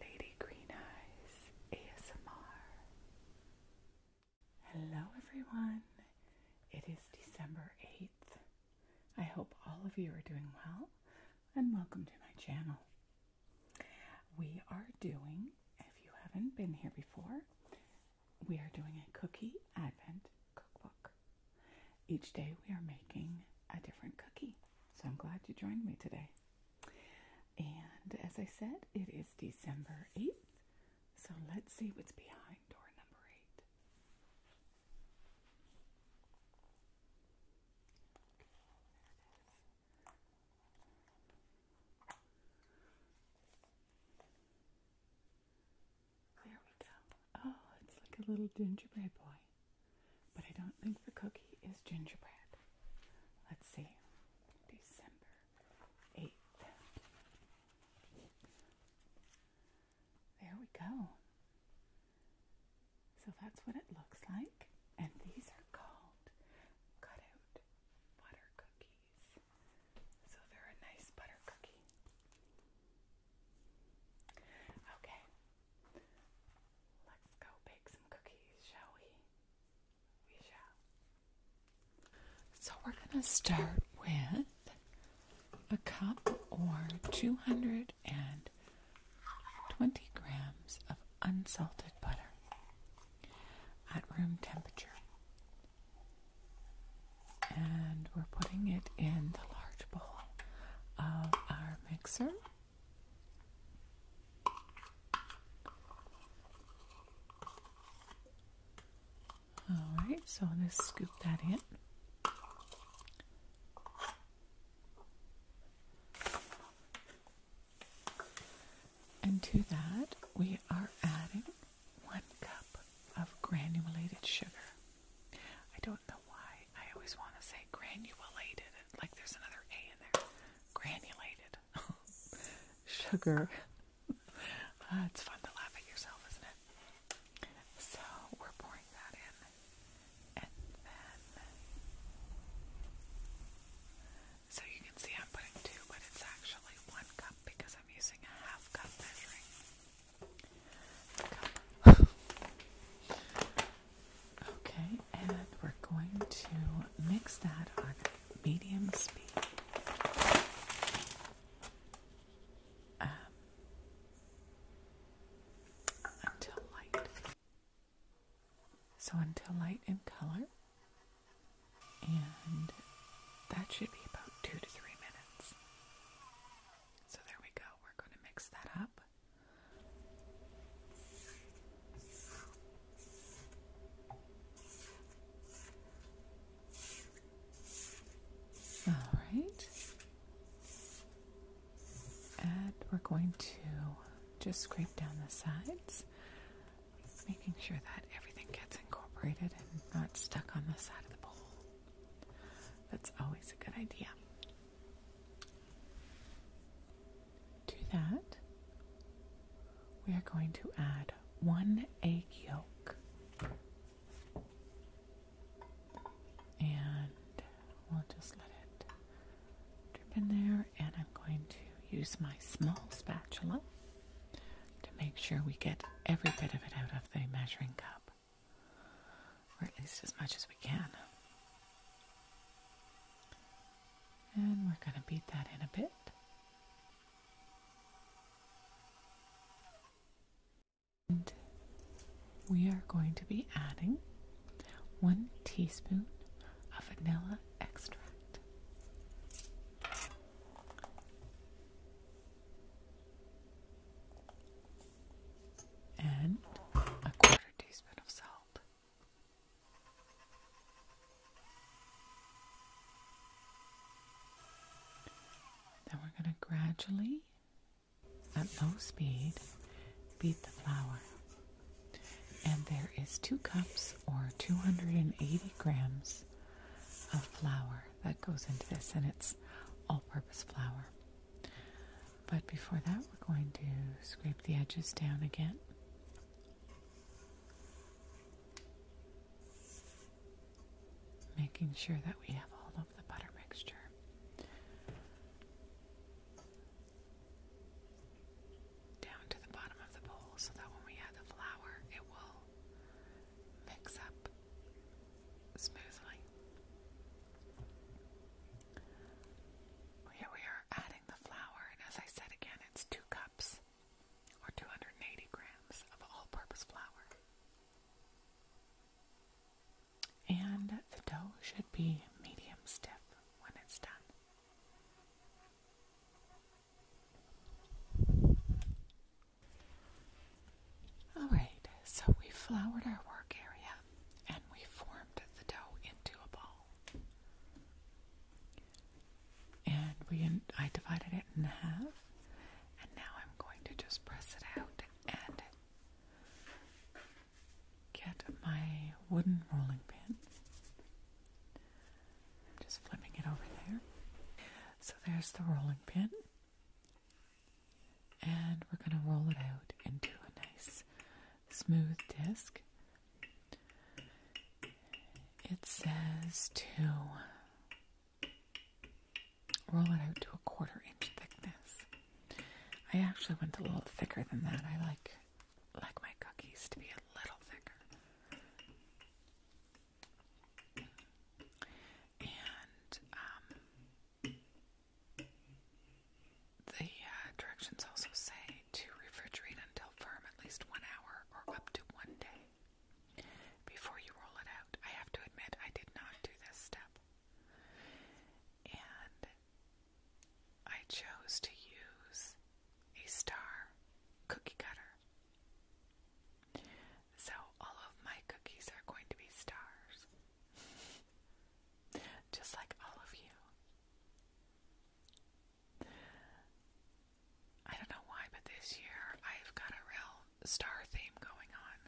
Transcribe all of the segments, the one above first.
Lady Green Eyes ASMR. Hello, everyone. It is December 8th. I hope all of you are doing well and welcome to my channel. We are doing, if you haven't been here before, we are doing a cookie advent cookbook. Each day we are making a different cookie. So I'm glad you joined me today. And as I said, it is December 8th. So let's see what's behind door number 8. Okay, there we go. Oh, it's like a little gingerbread boy. But I don't think the cookie is gingerbread. Let's see. December 8th. There we go. So that's what it looks like. And these are called cutout butter cookies. So they're a nice butter cookie. Okay, let's go bake some cookies, shall we? We shall. So we're going to start with a cup or 220 grams of unsalted butter at room temperature. And we're putting it in the large bowl of our mixer. Alright, so I'm going to scoop that in. And to that, we are adding one cup of granulated sugar. I don't know why I always want to say granulated, like there's another A in there. Granulated sugar. Uh, it's fun to laugh at yourself, isn't it? So we're pouring that in, and then so you can see I'm putting two, but it's actually one cup because I'm using a half cup measuring okay, and we're going to mix that on medium speed. Um, until light. So until light in color. And that should be about two to three minutes. So there we go. We're going to mix that up. All right. And we're going to just scrape down the sides making sure that everything gets incorporated and not stuck on the side of the bowl. That's always a good idea. To that, we are going to add one egg yolk. And we'll just let it drip in there. And I'm going to use my small spatula to make sure we get every bit of it out of the measuring cup, or at least as much as we can. And we're going to beat that in a bit. we are going to be adding one teaspoon of vanilla extract and a quarter teaspoon of salt. Then we're going to gradually, at low speed, beat the flour and there is two cups or 280 grams of flour that goes into this, and it's all purpose flour. But before that, we're going to scrape the edges down again. Making sure that we have all of the butter mixture down to the bottom of the bowl so that when we add the flour, it will mix up smoothly. Here we are adding the flour, and as I said again, it's two cups or 280 grams of all purpose flour. And the dough should be medium stiff when it's done. Alright, so we floured our work area and we formed the dough into a ball. And we I divided it in half and now I'm going to just press it out and get my wooden rolling pin I'm just flipping it over there. So there's the rolling pin. And we're going to roll it out into a nice smooth disc. It says to roll it out to a quarter inch thickness. I actually went a little thicker than that. I like like my cookies to be a little thicker. And um, the uh, directions also say to refrigerate until firm at least one hour or up to one day before you roll it out. I have to admit, I did not do this step. And I chose to use a star cookie cutter. So all of my cookies are going to be stars. Just like all of you. I don't know why, but this year I've got a real star theme going on.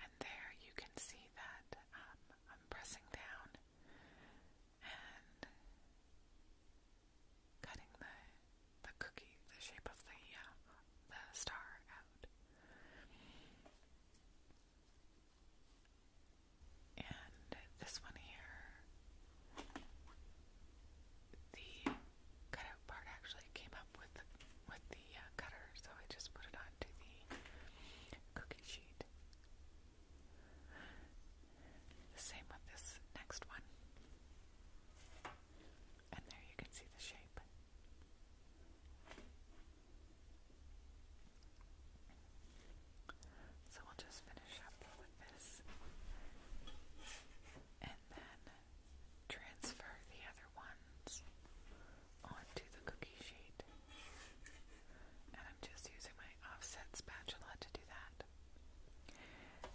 And there you can see that um, I'm pressing down and cutting the the cookie, the shape of the uh, the star out. And this one here, the cutout part actually came up with with the uh, cutter, so I just put it onto the cookie sheet. The same with this next one. And there you can see the shape. So we'll just finish up with this and then transfer the other ones onto the cookie sheet. And I'm just using my offset spatula to do that.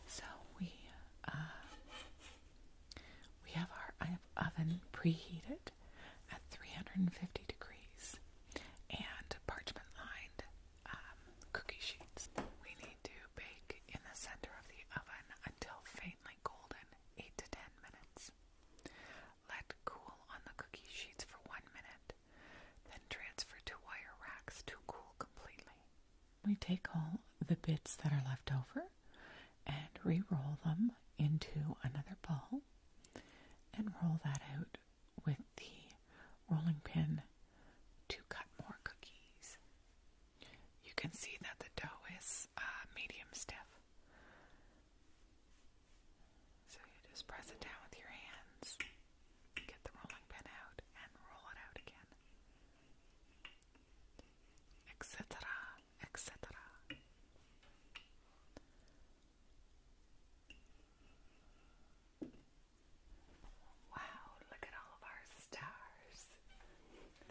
So we uh, we have our oven preheated at 350 degrees and parchment lined um, cookie sheets. We need to bake in the center of the oven until faintly golden, 8 to 10 minutes. Let cool on the cookie sheets for one minute, then transfer to wire racks to cool completely. We take all the bits that are left over and re-roll them into another ball and roll that out with the rolling pin to cut more cookies. You can see that the dough is uh, medium stiff. So you just press it down with your hands, get the rolling pin out, and roll it out again. Etc. Etc. Wow, look at all of our stars.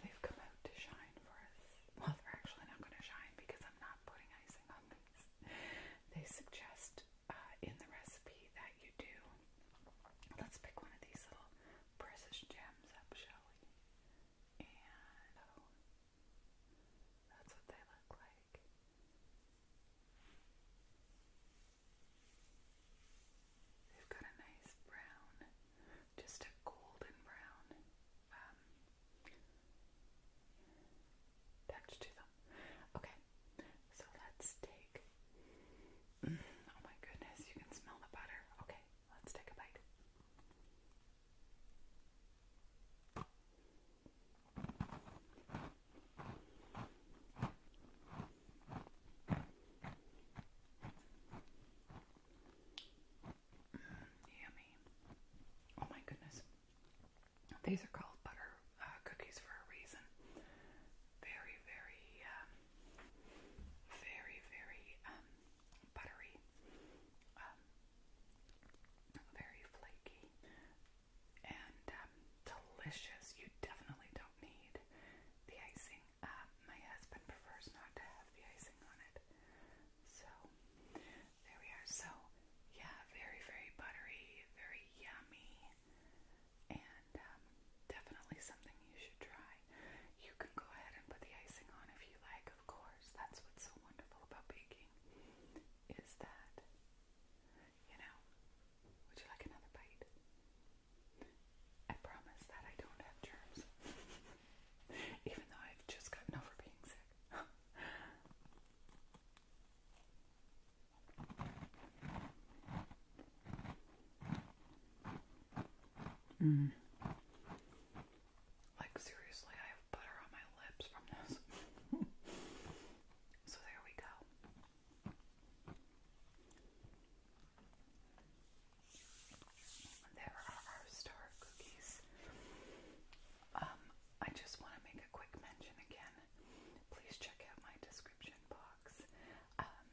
They've come out to shine for us. Well, they're actually not going to shine because I'm not putting icing on them. They suggest uh, in the recipe that you do. Let's pick one of these little precious gems up, shall we? And oh, that's what they look like. They've got a nice brown, just a golden brown. Uh, attached um, to them. Okay, so let's take. Oh my goodness, you can smell the butter. Okay, let's take a bite. Yummy. Oh my goodness. These are called butter uh, cookies for a reason. Very, very, um, very, very um, buttery. Um, very flaky. And delicious. You definitely don't need the icing. Uh, my husband prefers not to have the icing on it. So there we are. So yeah, very very buttery, very yummy, and um, definitely something you should try. You can go ahead and put the icing on if you like. Of course, that's what's so wonderful about baking is that you know. Would you like another bite? I promise that I don't have germs. Even though I've just gotten over being sick. mm. Like, seriously, I have butter on my lips from this. so, there we go. There are our star cookies. Um, I just want to make a quick mention again. Please check out my description box um,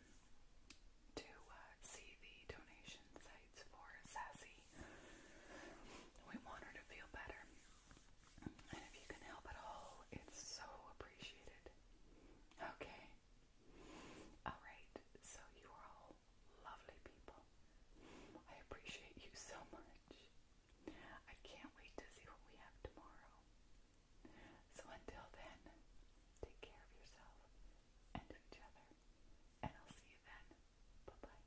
to uh, see the donation sites for Sassy. We want her to feel better. And if you can help at all, it's so appreciated. Okay. Alright, so you are all lovely people. I appreciate you so much. I can't wait to see what we have tomorrow. So until then, take care of yourself and each other, and I'll see you then. Bye bye.